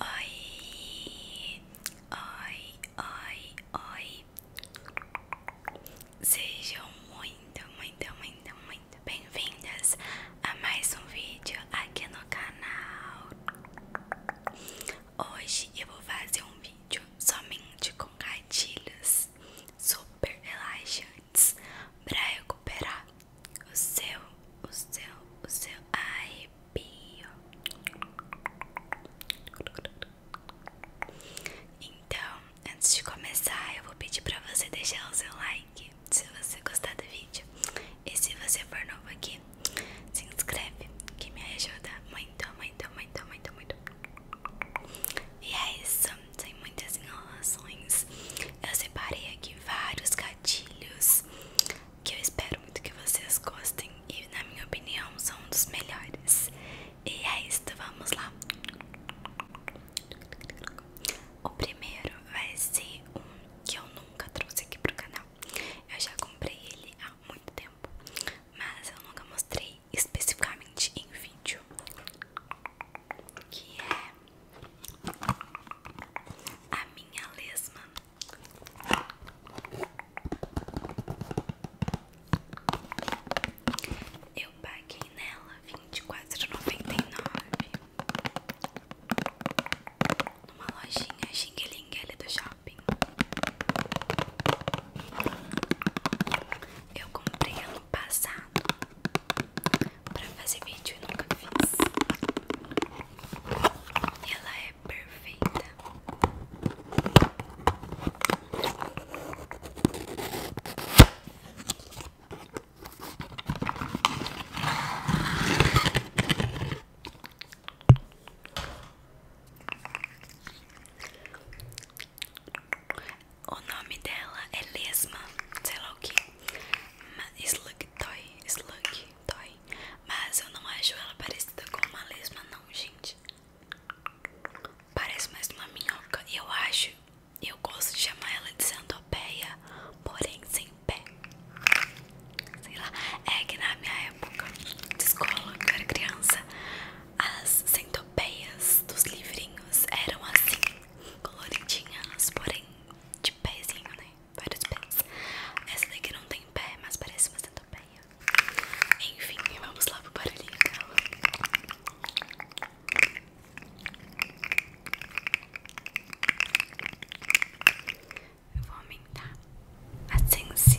Oi, oi, oi, oi. Sejam muito, muito, muito, muito bem-vindas a mais um vídeo aqui no canal. Hoje eu vou fazer um vídeo somente com gatilhos super relaxantes para recuperar o seu, o seu, o seu arrepio. Então, antes de começar, eu vou pedir para você deixar o seu like se você gostar do vídeo. E se você for novo aqui, se inscreve que me ajuda muito, muito, muito, muito, muito. E é isso, sem muito muitas enrolações. Eu separei aqui vários gatilhos que eu espero muito que vocês gostem e, na minha opinião, são um dos melhores. E é isto, vamos lá! O primeiro vai ser um que eu nunca trouxe aqui pro canal. Eu já comprei ele há muito tempo, mas eu nunca mostrei especificamente em vídeo. Que é a minha lesma. Eu paguei nela vinte e quatro noventa e nove numa lojinha xinguelinguele do shopping. Eu comprei ano passado pra fazer vídeo nunca fiz. Ela é perfeita. O nome dela é Lesma, sei lá o que. Slug Toy, Slug Toy. Mas eu não acho ela parecida com uma lesma, não, gente. Parece mais uma minhoca. E Eu acho, eu gosto de chamar ela de centopeia, porém sem pé. Sei lá, é que na minha época de escola, quando eu era criança, as centopeias dos livrinhos eram assim, coloridinhas, porém de pezinho, né? vários pés. Essa daqui não tem pé, mas parece uma bem. Enfim, vamos lá pro barulhinho dela. Eu vou aumentar a tensão.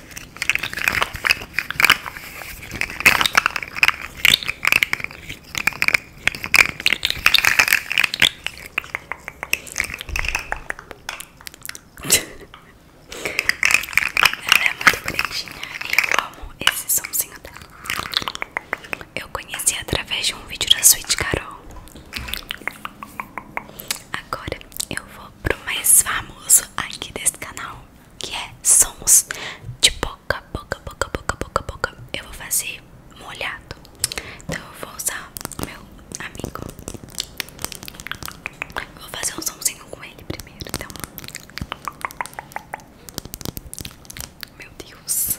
Ela é muito bonitinha e eu amo esse somzinho dela. Eu conheci através de um vídeo da Sweet Carol. Agora eu vou pro mais famoso aqui desse canal, que é sons de boca, boca, boca, boca, boca, boca. Eu vou fazer molhado. Então eu vou usar meu amigo. vou fazer um somzinho com ele primeiro, então. Meu Deus.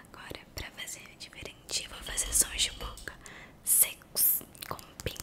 Agora, para fazer diferente, vou fazer sons de boca secos com pin.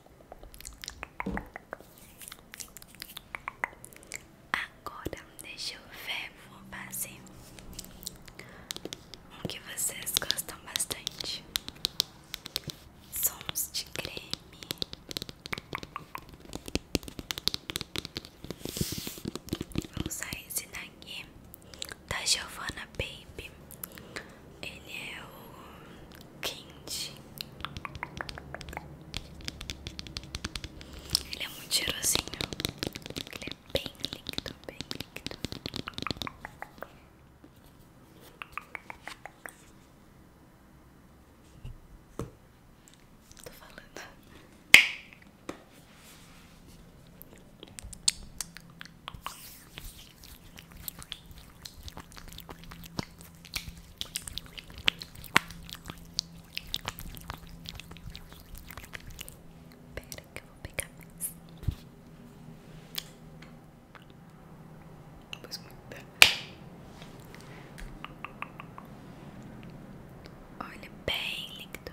Agora deixa eu ver, vou fazer um que vocês gostam bastante. Sons de creme. Vou usar esse daqui da Giovanna Baby. Ele é o quente. Ele é muito cheirosinho. Ele é bem líquido, bem líquido. Tô falando. Espera que eu vou pegar mais. Pois muita. Olha bem líquido.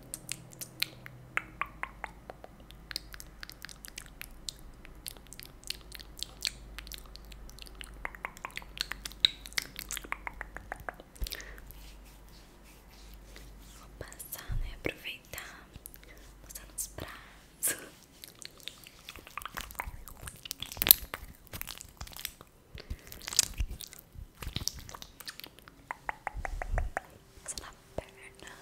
Vou passar, né? Aproveitar, passar nos braços. Passa na perna.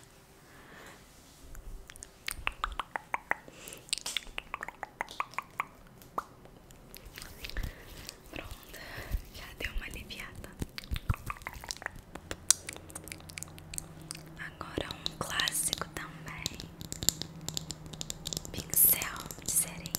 Pronto, já deu uma aliviada. Agora um clássico também. Pincel de serinha.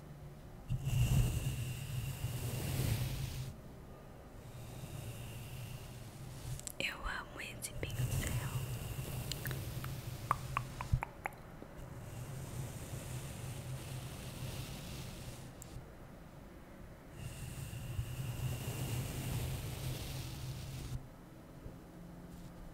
Eu amo esse pincel.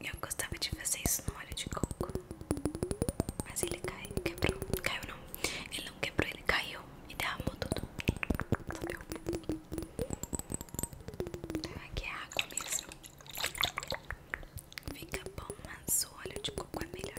Eu gostava de fazer isso no óleo de coco, mas ele caiu, quebrou, caiu não, ele não quebrou, ele caiu e derramou tudo. Sabeu? Aqui é água mesmo. Fica bom, mas o óleo de coco é melhor.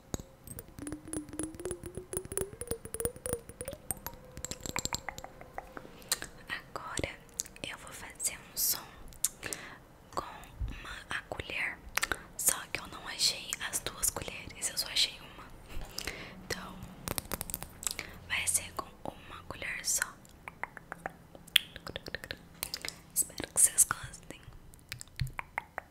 Agora eu vou fazer um som com uma colher, só que eu não achei as duas colheres, eu só achei uma. Então vai ser com uma colher só. Espero que vocês gostem.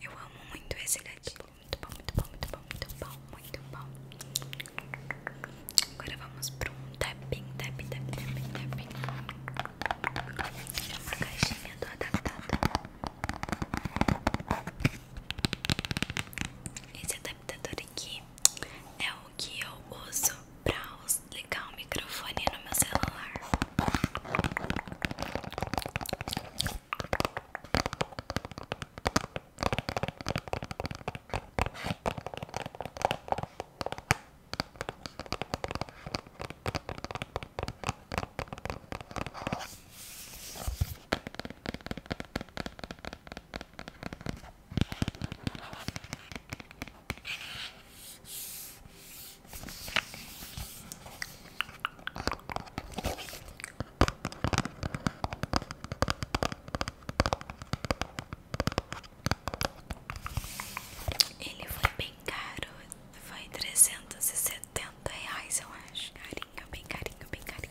Eu amo muito esse gatinho, Muito bom, muito bom, muito bom, muito bom, muito bom. Agora vamos pro um tapping, tapping, tapping, tapping, tapping. É uma caixinha do adaptador. Esse adaptador aqui é o que eu uso para ligar o microfone no meu celular. Ele foi bem caro, foi trezentos e setenta reais eu acho. Carinha, bem carinha, bem carinha.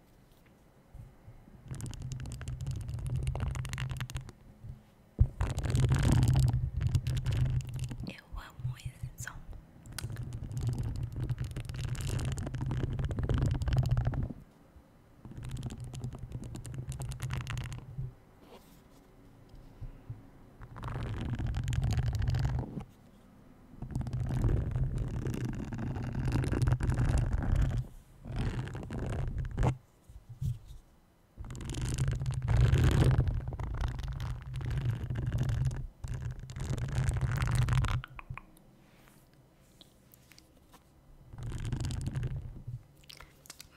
Eu amo esse som. Vou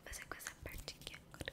fazer com essa parte aqui agora.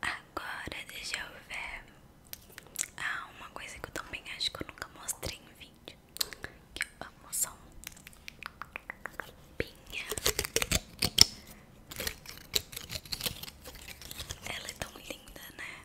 Agora deixa eu ver. Ah, uma coisa que eu também acho que eu nunca mostrei em vídeo. Que eu amo só um pinha. Ela é tão linda, né?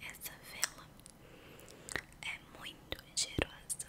Essa vela é muito cheirosa.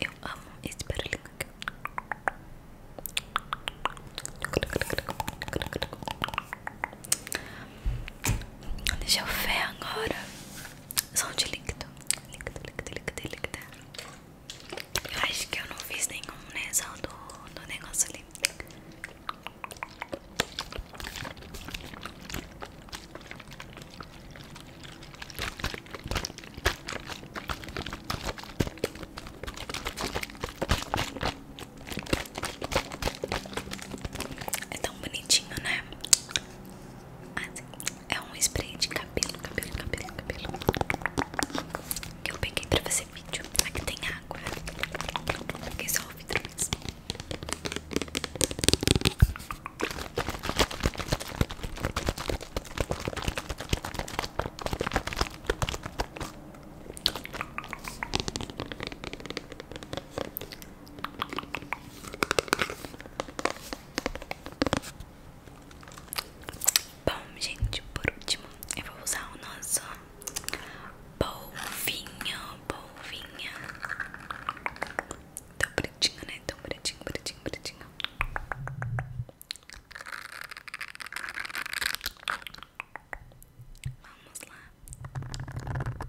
Eu amo esse barulho. Deixa eu ver agora som de líquido. líquido, líquido, líquido, líquido. acho que eu não fiz nenhum, né? Só do, do negócio ali. É tão bonitinho, né? é um spray de cabelo, cabelo, cabelo, cabelo Que eu peguei pra fazer vídeo Mas que tem água Peguei só o vidro Bom, gente, por último, eu vou usar o nosso polvinho, polvinha. Tão pretinho, né? Tão pretinho, pretinho, pretinho. Vamos lá.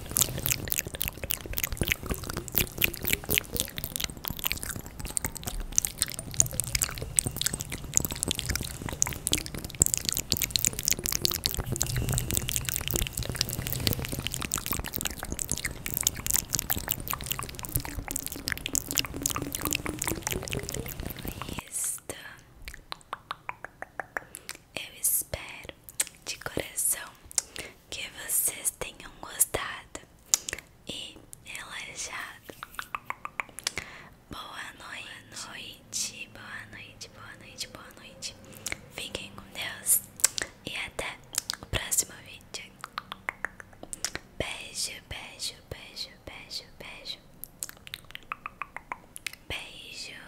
Esta eu espero de coração que vocês tenham gostado e relaxado. Boa noite, boa noite, boa noite, boa noite, boa noite. Fiquem com Deus e até o próximo vídeo. Beijo, beijo, beijo, beijo, beijo. Beijo.